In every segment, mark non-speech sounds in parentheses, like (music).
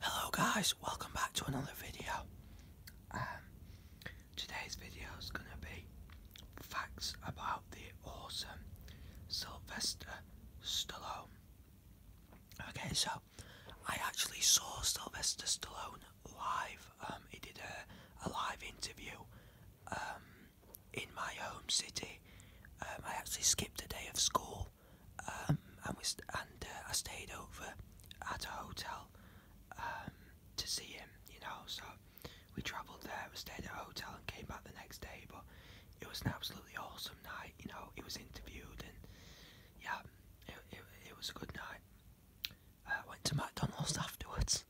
Hello guys, welcome back to another video. Um, today's video is going to be facts about the awesome Sylvester Stallone. Okay, so I actually saw Sylvester Stallone live. Um, he did a, live interview um, in my home city. I actually skipped a day of school um, and we and uh, I stayed over at a hotel um, to see him. You know, so we travelled there, we stayed at a hotel, and came back the next day. But it was an absolutely awesome night. You know, he was interviewed, and yeah, it it, was a good night. Uh, went to McDonald's (laughs) afterwards,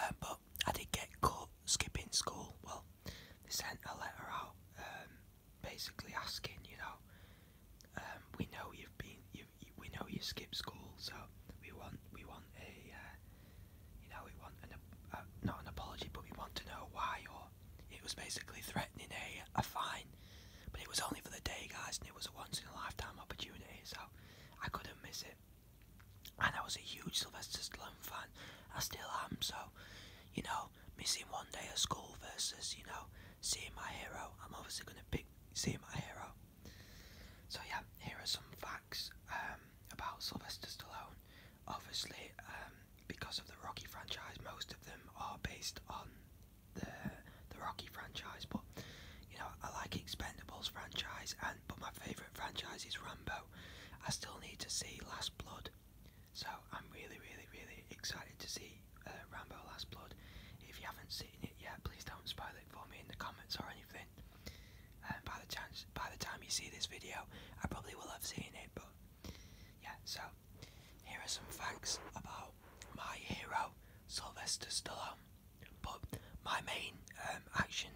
um, but I did get caught skipping school. Well, they sent a letter out um, basically asking, you know, um, we know you've been, you, you, we know you skipped school, so we want, we want a, uh, you know, we want an, uh, not an apology, but we want to know why. Or it was basically threatening a, a fine, but it was only for the day, guys, and it was a once in a lifetime opportunity, so I couldn't miss it. And I was a huge Sylvester Stallone fan. I still am, so you know, missing one day of school versus, you know, seeing my hero. I'm obviously going to pick seeing my hero. So, yeah, here are some facts um, about Sylvester Stallone. Obviously, um, because of the Rocky franchise, most of them are based on the, the Rocky franchise, but you know, I like Expendables franchise, and but my favourite franchise is Rambo. I still need to see Last Blood. So I'm really, really, really excited to see uh, Rambo Last Blood. If you haven't seen it yet, please don't spoil it for me in the comments or anything. And uh, by the chance, by the time you see this video, I probably will have seen it. But yeah, so here are some facts about my hero Sylvester Stallone. But my main um, action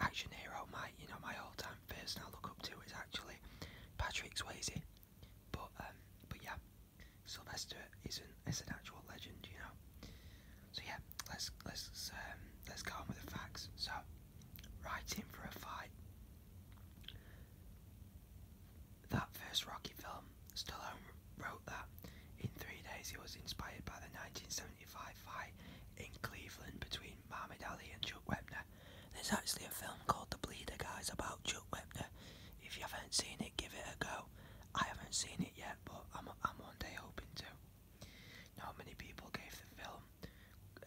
action hero, my you know my all-time person I look up to is actually Patrick Swayze. But um, but yeah, Sylvester is an is an actual legend, you know. So yeah, let's let's um, let's go on with the facts. So, writing for a fight. That first Rocky film, Stallone wrote that. In three days, he was inspired by the 1975 fight in Cleveland between Muhammad Ali and Chuck Weber. There's actually a film called The Bleeder Guys about Chuck Webner. If you haven't seen it, give it a go. I haven't seen it yet, but I'm, I'm one day hoping to. Not many people gave the film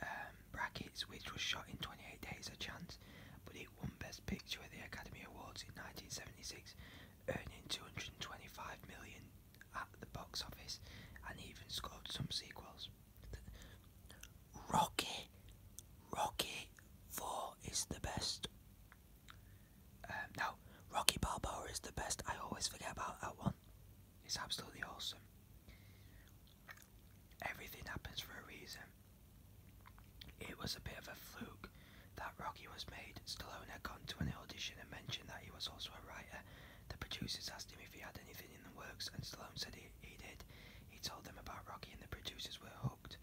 um, brackets, which was shot in 28 days, a chance, but it won Best Picture at the Academy Awards in 1976, earning 225 million at the box office, and even scored some sequels. Rocky, Rocky Four is the best. Um, no, Rocky Balboa is the best. I always forget about that one. It's absolutely awesome. Everything happens for a reason. It was a bit of a fluke that Rocky was made. Stallone had gone to an audition and mentioned that he was also a writer. The producers asked him if he had anything in the works, and Stallone said he he did. He told them about Rocky and the producers were hooked.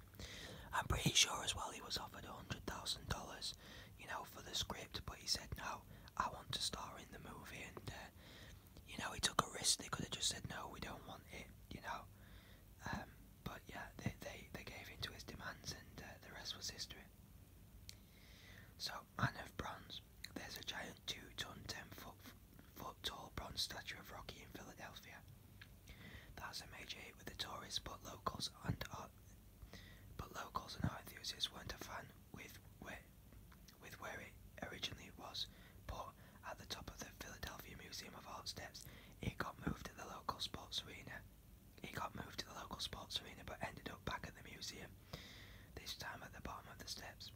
I'm pretty sure as well he was offered $100,000, you know, for the script, but he said, no, I want to star in the movie, and, uh, you know, he took a risk. They could have just said, no, we don't want it, you know. Um, but yeah, they, they, they gave in to his demands, and uh, the rest was history. So, Man of Bronze. There's a giant two-ton, ten-foot tall bronze statue of Rocky in Philadelphia. That's a major hit with the tourists, but locals and art, but locals and art enthusiasts weren't a fan with where, with where it originally was. But at the top of the Philadelphia Museum of Art steps, it got moved to the local sports arena. It got moved to the local sports arena, but ended up back at the museum. This time at the bottom of the steps.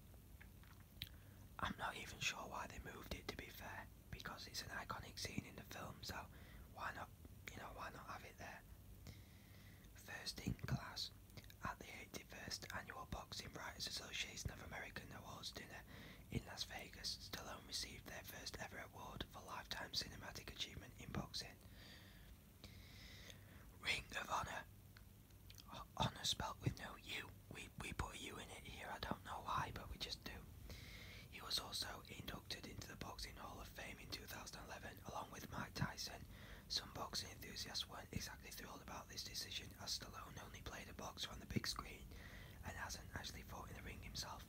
I'm not even sure why they moved it to be fair, because it's an iconic scene in the film, so why not, you know, why not have it there? First in class, at the 81st Annual Boxing Writers Association of America Awards dinner in Las Vegas, Stallone received their first ever award for lifetime cinematic achievement in boxing. Ring of Honor, honour spelt with no U. We, we put a U in it here, I don't know why, but we just do. He was also inducted into the Boxing Hall of Fame in 2011 along with Mike Tyson. Some boxing enthusiasts weren't exactly thrilled about this decision as Stallone only played a boxer on the big screen and hasn't actually fought in the ring himself.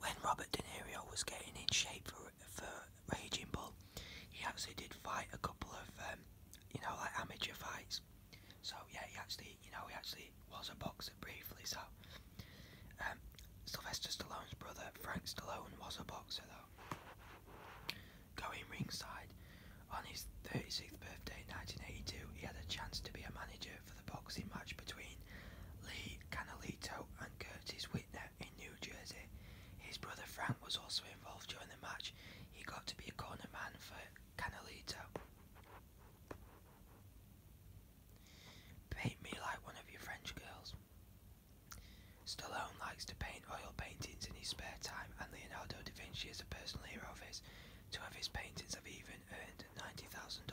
When Robert De Niro was getting in shape for, for Raging Bull, he actually did fight a couple of, um, you know, like amateur fights. So yeah, he actually, you know, he actually was a boxer briefly. So um, Sylvester Stallone's brother Frank Stallone was a boxer though. Going ringside on his 36th birthday in 1982, he had a chance to be a manager for the boxing match between Lee Canolito and Curtis Whitner in New Jersey. His brother Frank was also involved during the match. He got to be a corner man for Kinda leads up. Paint me like one of your French girls. Stallone likes to paint oil paintings in his spare time, and Leonardo da Vinci is a personal hero of his. Two of his paintings have even earned $90,000.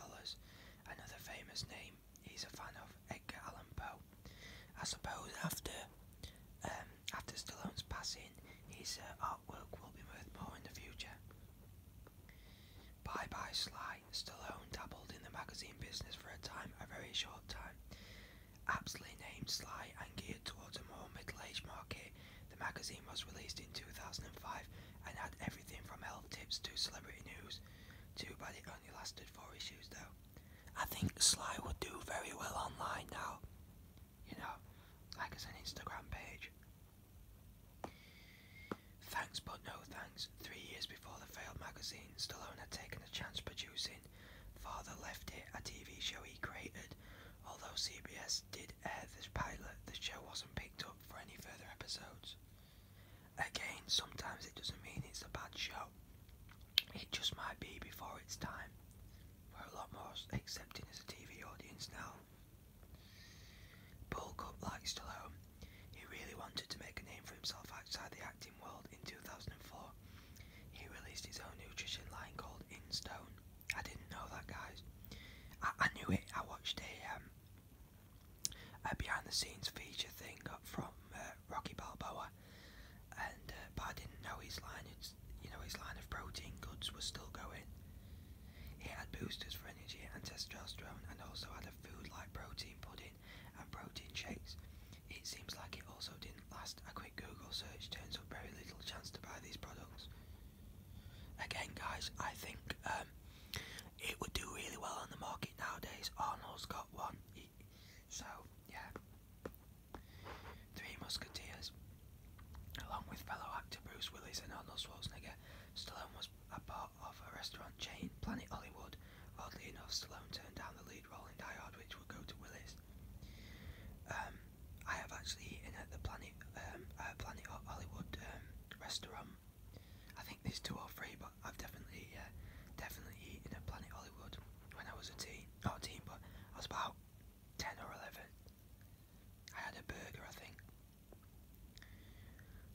Another famous name he's a fan of, Edgar Allan Poe. I suppose after um, after Stallone's passing, his uh, artwork will be worth more in the future. Bye bye Sly. Stallone dabbled in the magazine business for a time, a very short time. Aptly named Sly and geared towards a more middle-aged market, the magazine was released in 2005 and had everything from health tips to celebrity news. Too bad it only lasted four issues though. I think Sly would do very well online now you know, like as an Instagram page. Thanks but no thanks. Three years before the failed magazine, Stallone had taken a chance producing Father Left It, a TV show he created. Although CBS did air this pilot, the show wasn't picked up for any further episodes. Again, sometimes it doesn't mean it's a bad show. It just might be before its time we're a lot more accepting as a TV audience now. Paul Cup, to Stallone, he really wanted to make a name for himself outside the acting world in 2004. He released his own nutrition line called In Stone. I didn't know that, guys. I, knew it. I watched a, um, behind the scenes feature thing from uh, Rocky Balboa, and uh, but I didn't know his line you know, his line of protein goods was still going. It had boosters for energy and testosterone, and also had a food like protein pudding and protein shakes. It seems like it also didn't last. A quick Google search turns up very little chance to buy these products. Again, guys, I think um, it would do really well on the market nowadays. Arnold's got one, so yeah. Three Musketeers. Along with fellow actor Bruce Willis and Arnold Schwarzenegger, Stallone was a part of a restaurant chain, Planet Hollywood. Oddly enough, Stallone turned down the lead role in Die Hard, which would go to Willis. Um, I have actually eaten at the Planet um, uh, Planet Hollywood um, restaurant. I think there's two or three, but I've definitely uh, definitely eaten at Planet Hollywood when I was a teen. Not a teen, but I was about 10 or 11. I had a burger, I think.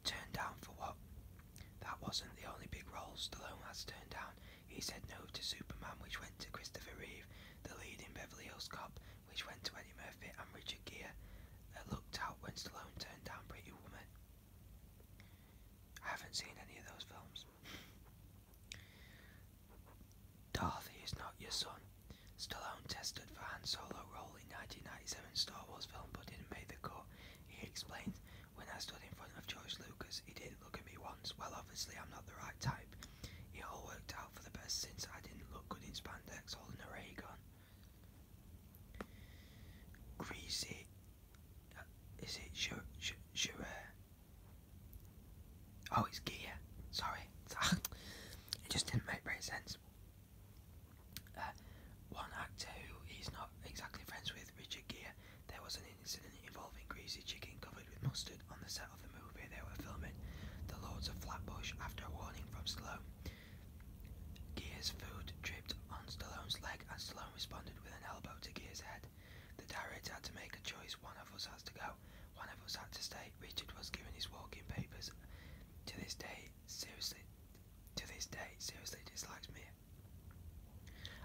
Turned down for what? That wasn't the only big role Stallone has turned down. He said no to Superman, which went to Christopher Reeve, the lead in Beverly Hills Cop, which went to Eddie Murphy, and Richard Gere that looked out when Stallone turned down Pretty Woman. I haven't seen any of those films. Darth, is not your son. Stallone tested for Han Solo role in 1997 Star Wars film but didn't make the cut. He explained, when I stood in front of George Lucas, he didn't look at me once. Well, obviously I'm not the right type. It all worked out for the best since I didn't look good in spandex holding a ray gun. Greasy, uh, is it Jure? Oh, it's gear. Sorry. (laughs) it just didn't make great sense. Uh, one actor who he's not exactly friends with, Richard Gear, there was an incident involving greasy chicken covered with mustard on the set of the movie they were filming, The Lords of Flatbush, after a warning from Stallone. Gear's food dripped on Stallone's leg and Stallone responded with an elbow to Gear's head. The directors had to make a choice, one of us has to go, one of us had to stay, Richard was given his walking papers. To this day, seriously, to this day, seriously dislikes me.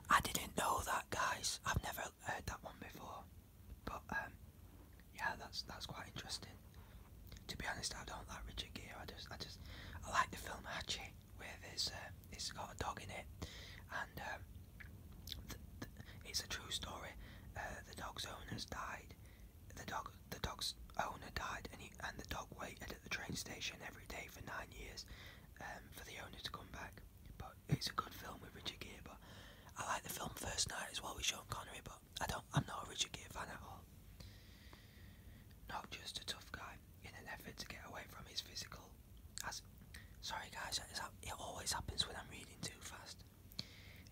I didn't know that, guys. I've never heard that one before. But um, yeah, that's that's quite interesting. To be honest, I don't like Richard Gere. I just, I just, I like the film Hatchet, where there's, uh, it's got a dog in it, and um, it's a true story. Uh, the dog's owner died. The dog, the dog's owner died, and he, and the dog waited at the train station every day for nine years um, for the owner to come back. But it's a good film with Richard Gere. But I like the film First Night as well with Sean Connery. But I don't, I'm not a Richard Gere fan at all. Not just a tough guy in an effort to get away from his physical. As, sorry guys, it always happens when I'm reading too fast.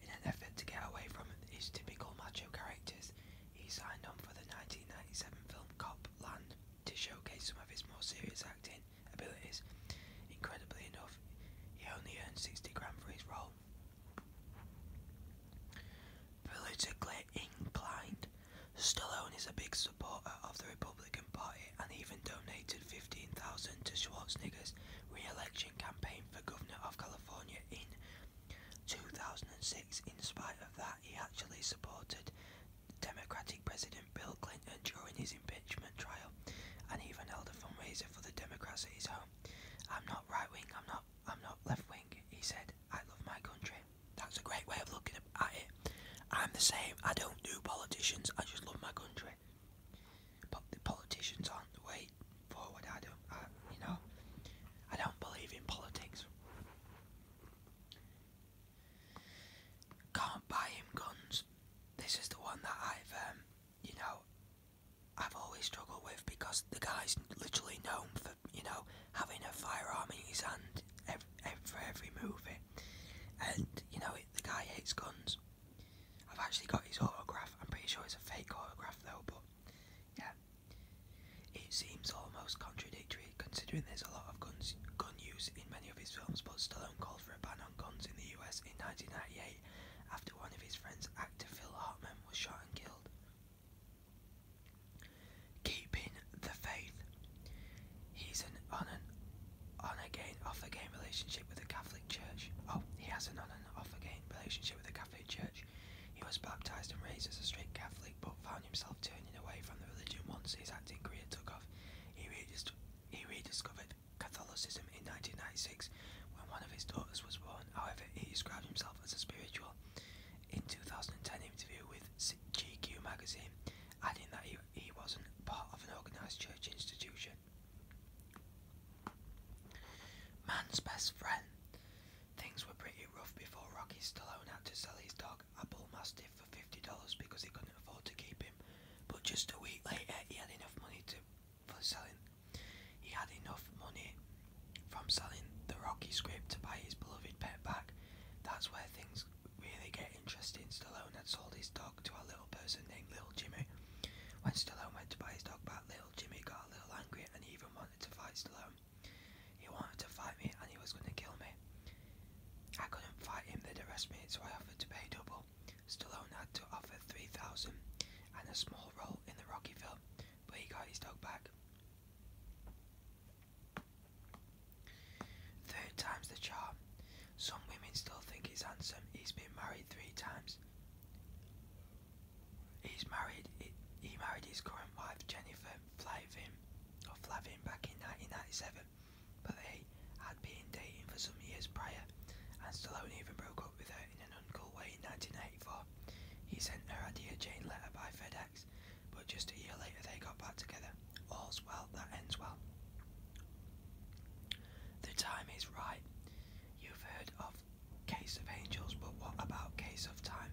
In an effort to get away from his typical macho characters, he signed on for the 1997 film Cop Land to showcase some of his more serious acting abilities. Incredibly enough, he only earned 60 grand for his role. Politically inclined, Stallone is a big supporter of the Republican Party and even donated 15,000 to Schwarzenegger's re-election Christian for governor of California in 2006. In spite of that, he actually supported Democratic President Bill Clinton during his impeachment trial and even held a fundraiser for the Democrats at his home. I'm not right wing, I'm not I'm not left wing, he said. I love my country. That's a great way of looking at it. I'm the same. I don't do politicians. I just love my country. But the politicians aren't the way straight forward. I don't, you know, I don't believe in politics. Can't buy him guns. This is the one that I've, um, you know, I've always struggled with because the guy's literally known for, you know, having a firearm in his hand for every movie. And, you know, the guy hates guns. I've actually got his autograph. I'm pretty sure it's a fake autograph though, but yeah. It seems almost contradictory considering there's a lot of guns, gun use in many of his films, but Stallone called for a ban on guns in the US in 1998 after one of his friends, actor Phil Hartman, was shot and killed. Keeping the faith. He's an on an on again off again relationship with the Catholic Church. Oh, he has an on off again relationship with the Catholic Church. He was baptized and raised as a strict Catholic, but found himself turning away from the religion once his acting career took off. He, rediscovered Catholicism in 1996 when one of his daughters was born. However, he described himself as a spiritual. In 2010 interview with GQ magazine, adding that he wasn't part of an organised church institution. Man's best friend. Things were pretty rough before Rocky Stallone had to sell his dog, a bull mastiff, for $50 because he couldn't afford to keep him. But just a week later, he had enough money to for selling. He had enough money from selling the Rocky script to buy his beloved pet back. That's where things really get interesting. Stallone had sold his dog to a little person named Little Jimmy. When Stallone went to buy his dog back, Little Jimmy got a little angry and he even wanted to fight Stallone. He wanted to fight me and he was going to kill me. I couldn't fight him, they'd arrest me, so I offered to pay double. Stallone had to offer 3000 and a small role in the Rocky film, but he got his dog back. Third time's the charm. Some women still think he's handsome. He's been married three times. He's married. He, married his current wife Jennifer Flavin, or Flavin, back in 1997, but they had been dating for some years prior, and Stallone even broke up with her in an uncool way in 1984. He sent her a Dear Jane letter by FedEx, but just a year later they got back together. All's well that ends well. The time is right. You've heard of Case of Angels, but what about Case of Time?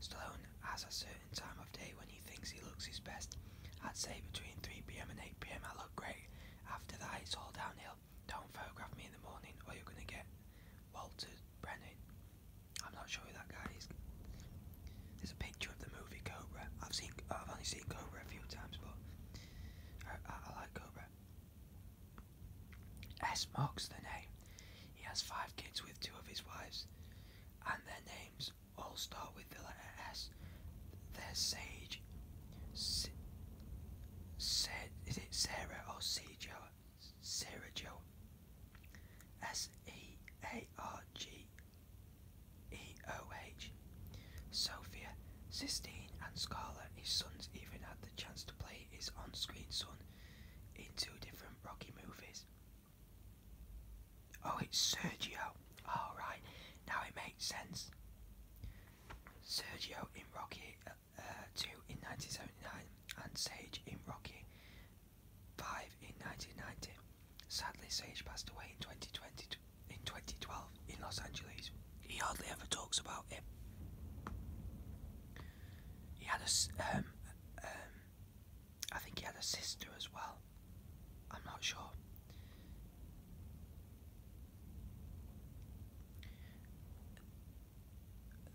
Stallone has a certain time of day when he thinks he looks his best. I'd say between 3pm and 8pm I look great. After that, it's all downhill. Don't photograph me in the morning or you're going to get Walter Brennan. I'm not sure who that guy is. There's a picture of the movie Cobra. I've seen, I've only seen Cobra a few times, but uh, I like Cobra. S marks the name. He has five kids with two of his wives, and their names all start with the letter S. They're Sage, is it Sarah or Sejo? Sarah Joe. S E A R G E O H. Sophia Sistine and Scarlet, his sons, even had the chance to play his on screen son in two different Rocky movies. Oh, it's Sergio. Alright, oh, now it makes sense. Sergio in Rocky uh, 2 in 1979 and Sage in Rocky 5 in 1990. Sadly, Sage passed away in 2020 in 2012 in Los Angeles. He hardly ever talks about it. He had a, um, um, think he had a sister as well. I'm not sure.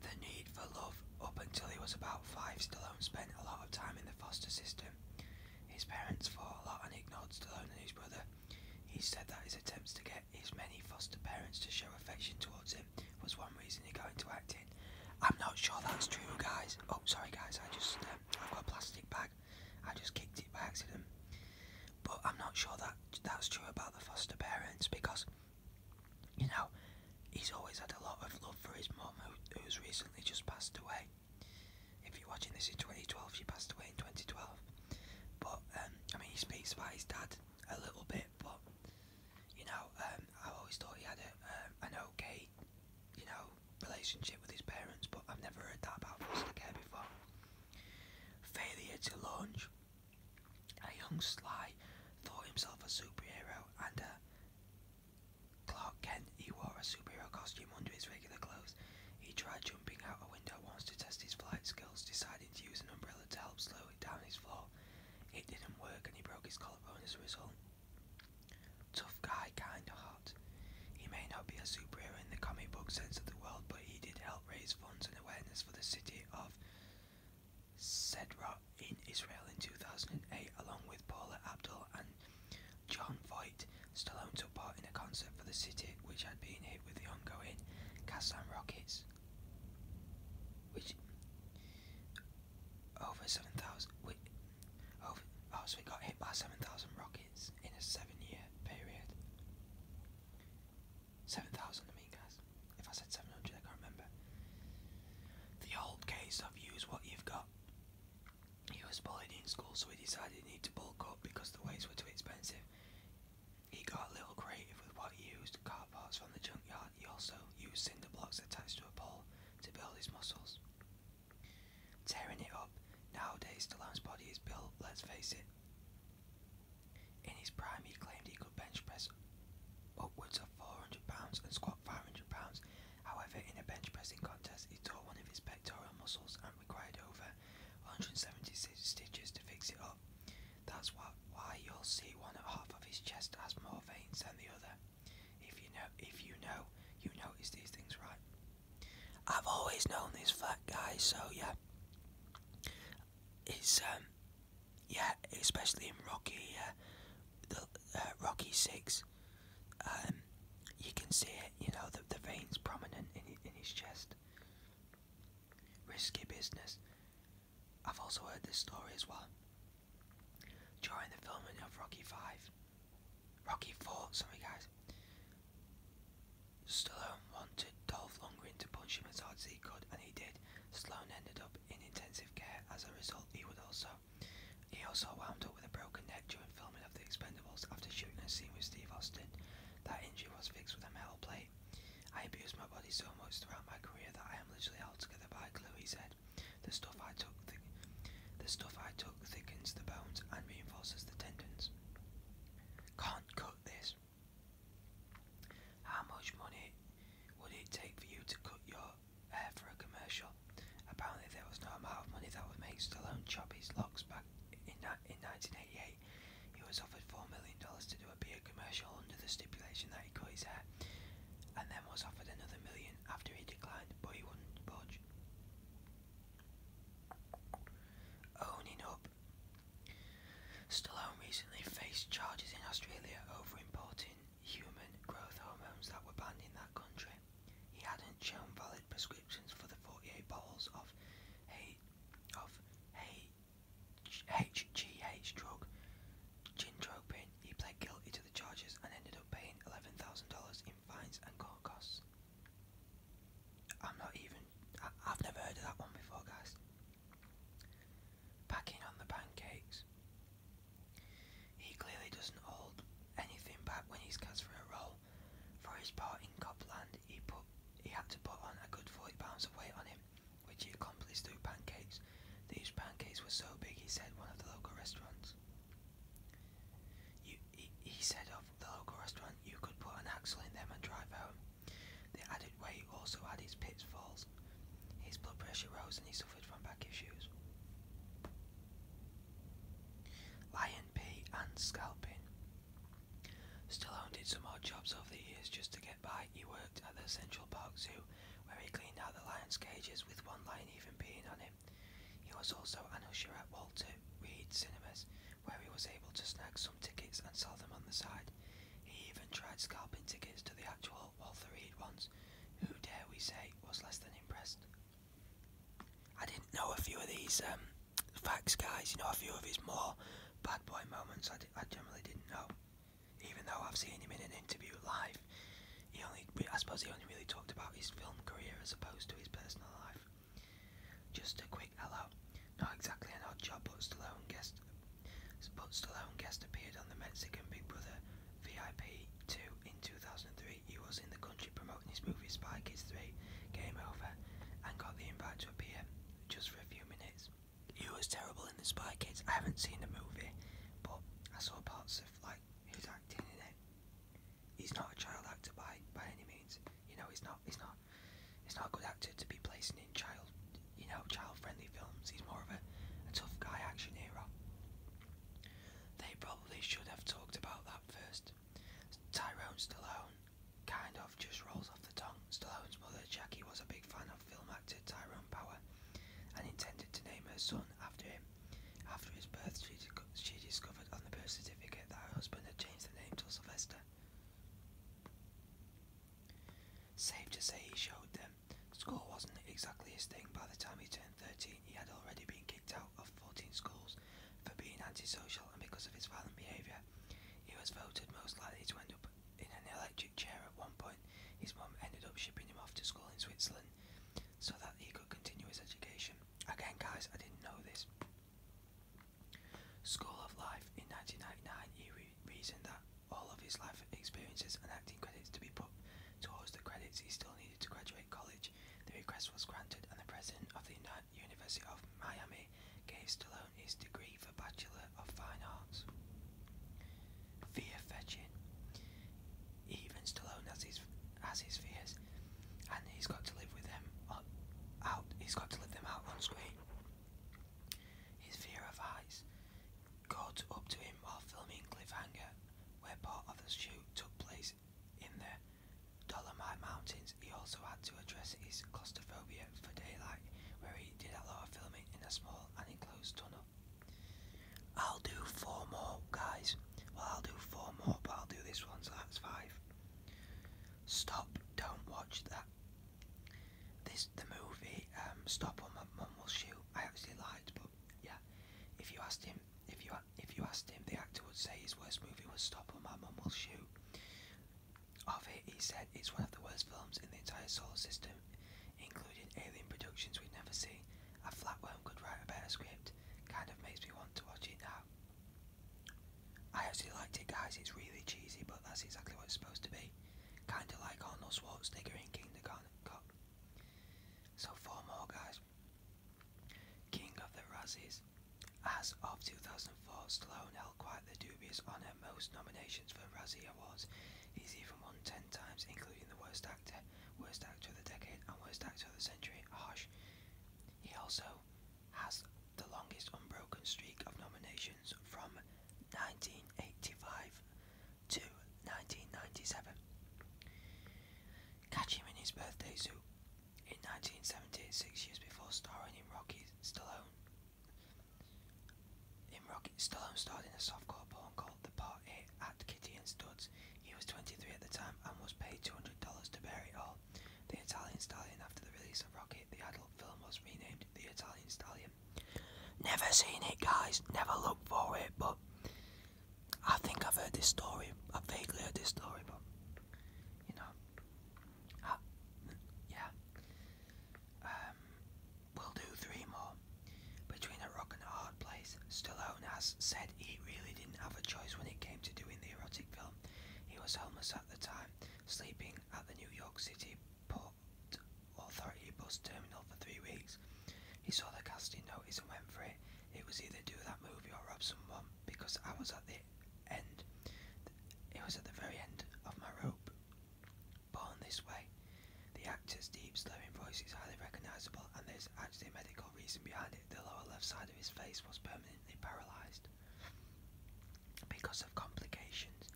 The need for love up until he was about five, Stallone spent a lot of time in the foster system. His parents fought a lot and ignored Stallone and his brother. He said that his attempts to get his many foster parents to show affection towards him was one reason he got into acting. I'm not sure that's true, guys. Oh, sorry, guys. I just um, I've got a plastic bag. I just kicked it by accident. But I'm not sure that that's true about the foster parents because, you know, he's always had a lot of love for his mum, who's recently just passed away. If you're watching this in 2012, she passed away in 2012. But um, I mean, he speaks about his dad a little bit, but you know, um, I always thought he had a, um, an okay, you know, relationship with his parents. But I've never heard that about foster care before. Failure to launch. A young Sly thought himself a superhero, and uh, Clark Kent he wore a superhero costume under his regular clothes. He tried jumping out a window once to test his flight skills, deciding to use an umbrella to help slow it down his flow. It didn't work and he broke his collarbone as a result. Tough guy, kinda hot. He may not be a superhero in the comic book sense of the world, but he did help raise funds and awareness for the city of Sedra in Israel in 2008, along with Paula Abdul and John Voight. Stallone took part in a concert for the city, which had been hit with the ongoing Kazan rockets, which over 7,000. Over, oh, so we got hit by 7,000 rockets in a seven year period. 7,000, I mean, guys. If I said 700, I can't remember. The old case of use what you've got. He was bullied in school, so he decided he needed to bulk up because the weights were too expensive. He got a little creative with what he used, car parts from the junkyard. He also used cinder blocks attached to a pole to build his muscles. Tearing it up, nowadays Stallone's body is built, let's face it. In his prime, he claimed he could bench press upwards of 400 pounds and squat 500 pounds. However, in a bench pressing contest, he tore one of his pectoral muscles and required over 176 stitches to fix it up. That's what, why you'll see one half of his chest has more veins than the other. If you know, if you know, you notice these things, right? I've always known this fat guy, so yeah. It's um, yeah, especially in Rocky, uh, the uh, Rocky Six, um, you can see it. You know, the the veins prominent in in his chest. Risky business. I've also heard this story as well. During the filming of Rocky Five, Rocky Four, sorry guys, Stallone wanted Dolph Lundgren to punch him as hard as he could, and he did. Stallone ended up in intensive care. As a result, he would also he also wound up with a broken neck during filming of The Expendables after shooting a scene with Steve Austin. That injury was fixed with a metal plate I abused my body so much throughout my career that I am literally held together by glue, he said. The stuff I took the stuff I took thickens the bones and reinforces the tendons. Can't cut this. How much money would it take for you to cut your hair for a commercial? Apparently there was no amount of money that would make Stallone chop his locks back in, in 1988 he was offered $4 million to do a beer commercial under the stipulation that he cut his hair, and then was offered another million after he declined, but he wouldn't budge. Owning up. Stallone recently faced charges in Australia over importing human growth hormones that were banned in that country. He hadn't shown valid prescriptions for the 48 bottles of of hay HGH drug, gintropin, he pled guilty to the charges and ended up paying $11,000 in fines and court costs. I'm not even, I've never heard of that one before, guys. Packing on the pancakes. He clearly doesn't hold anything back when he's cast for a role. For his part in Copland, he put he had to put on a good 40 pounds of weight on him, which he accomplished through pancakes. These pancakes were so big, he said, one of the local restaurants. he, said of the local restaurant, you could put an axle in them and drive home. The added weight also had its pitfalls. His blood pressure rose and he suffered from back issues. Lion pea and scalping. Still, Stallone did some odd jobs over the years just to get by. He worked at the Central Park Zoo, where he cleaned out the lions' cages, with one lion even peeing on him. He was also an usher at Walter Reed Cinemas, where he was able to snag some tickets and sell them on the side. He even tried scalping tickets to the actual Walter Reed ones, who, dare we say, was less than impressed. I didn't know a few of these um, facts, guys. You know, a few of his more bad boy moments I, generally didn't know. Even though I've seen him in an interview live, he only, I suppose he only really talked about his film career as opposed to his personal life. Just a quick hello. Not exactly an odd job, but Stallone guest, but Stallone guest appeared on the Mexican Big Brother VIP 2 in 2003. He was in the country promoting his movie Spy Kids 3, Game Over, and got the invite to appear just for a few minutes he was terrible in the Spy Kids. I haven't seen the movie, but I saw parts of like his acting in it. He's not a child actor by by any means. You know, he's not. He's not. He's not a good actor to be placing in child, you know, child-friendly films. He's more of a, a tough guy action hero. They probably should have talked about that first. Tyrone Stallone kind of just rolls off the tongue. Stallone's mother, Jackie, was a big fan of film actor Tyrone Power and intended to name her son after him. After his birth, she, she discovered on the birth certificate that her husband had changed the name to Sylvester. Safe to say he showed them. School wasn't exactly his thing. By the time he turned 13, he had already been kicked out of 14 schools for being antisocial and because of his violent behaviour. He was voted most likely to end up in an electric chair at one point. His mom ended up shipping him off to school in Switzerland so that he could continue his education. Again, guys, I didn't know this. School of Life. In 1999, he reasoned that all of his life experiences and acting credits to be put towards the credits he still needed to graduate college. The request was granted, and the President of the United at University of Miami gave Stallone his degree for Bachelor of Fine Arts. Fear fetching. Even Stallone has his has his fears, and he's got to live with them out. He's got to live them out on screen. His fear of heights got up to him while filming Cliffhanger, where part of the shoot took place in the Dolomite Mountains. He also had to address his claustrophobia for Daylight, where he did a lot of filming in a small enclosed tunnel. I'll do four more, guys. Well, I'll do four more, but I'll do this one, so that's five. Stop, don't watch that. This, the movie, um, Stop or My Mom Will Shoot, I actually liked, but yeah, if you asked him, if you, if you asked him, the actor would say his worst movie was Stop or My Mom Will Shoot. Of it, he said, it's one of the worst films in the entire solar system, including alien productions we'd never see. A flatworm could write a better script. Kind of makes me want to watch it now. I actually liked it, guys. It's really cheesy, but that's exactly what it's supposed to be. Kind of like Arnold Schwarzenegger in Kindergarten Cop. So, four more, guys. King of the Razzies. As of 2005, for Sloan held quite the dubious honour most nominations for Razzie Awards. He's even won 10 times, including the Worst Actor, Worst Actor of the Decade, and Worst Actor of the Century, Harsh. He also has the longest unbroken streak of nominations from 1985 to 1997. Catch him in his birthday suit. In nineteen seventy six years before starring in Rocky, Stallone in Rocket Stallone starred in a softcore porn called The Part It at Kitty and Studs. He was 23 at the time and was paid $200 to bury all. The Italian Stallion after the release of Rocket, the adult film was renamed The Italian Stallion. Never seen it guys, never looked for it, but I think I've heard this story. I vaguely heard this story, but you know, yeah. Um, we'll do three more. Between a rock and a hard place, Stallone has said he really didn't have a choice when it came to doing the erotic film. He was homeless at the time, sleeping at the New York City Port Authority bus terminal for three weeks. He saw the casting notice and went for it. It was either do that movie or rob someone because I was at the end. It was at the very end of my rope. Born this way, the actor's deep, slurring voice is highly recognisable, and there's actually a medical reason behind it. The lower left side of his face was permanently paralysed because of complications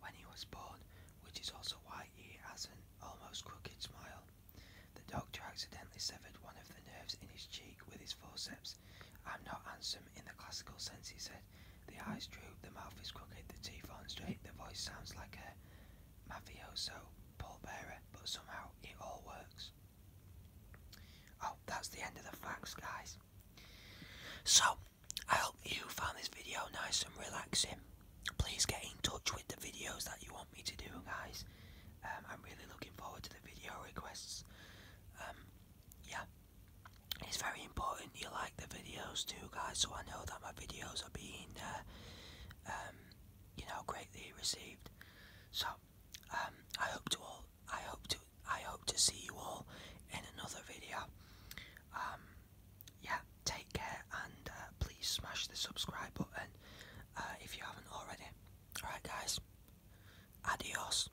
when he was born, which is also why he has an almost crooked smile. The doctor accidentally severed one of the nerves in his cheek with his forceps, I'm not handsome in the classical sense, he said. The eyes droop, the mouth is crooked, the teeth aren't straight, the voice sounds like a mafioso pole bearer, but somehow it all works. Oh, that's the end of the facts, guys. So, I hope you found this video nice and relaxing. Please get in touch with the videos that you want me to do, guys. Um, I'm really looking forward to the video requests. Um, yeah, it's very important you like the videos too guys so I know that my videos are being uh, um, you know greatly received so um, I hope to all I hope to I hope to see you all in another video um, yeah take care and uh, please smash the subscribe button uh, if you haven't already alright guys adios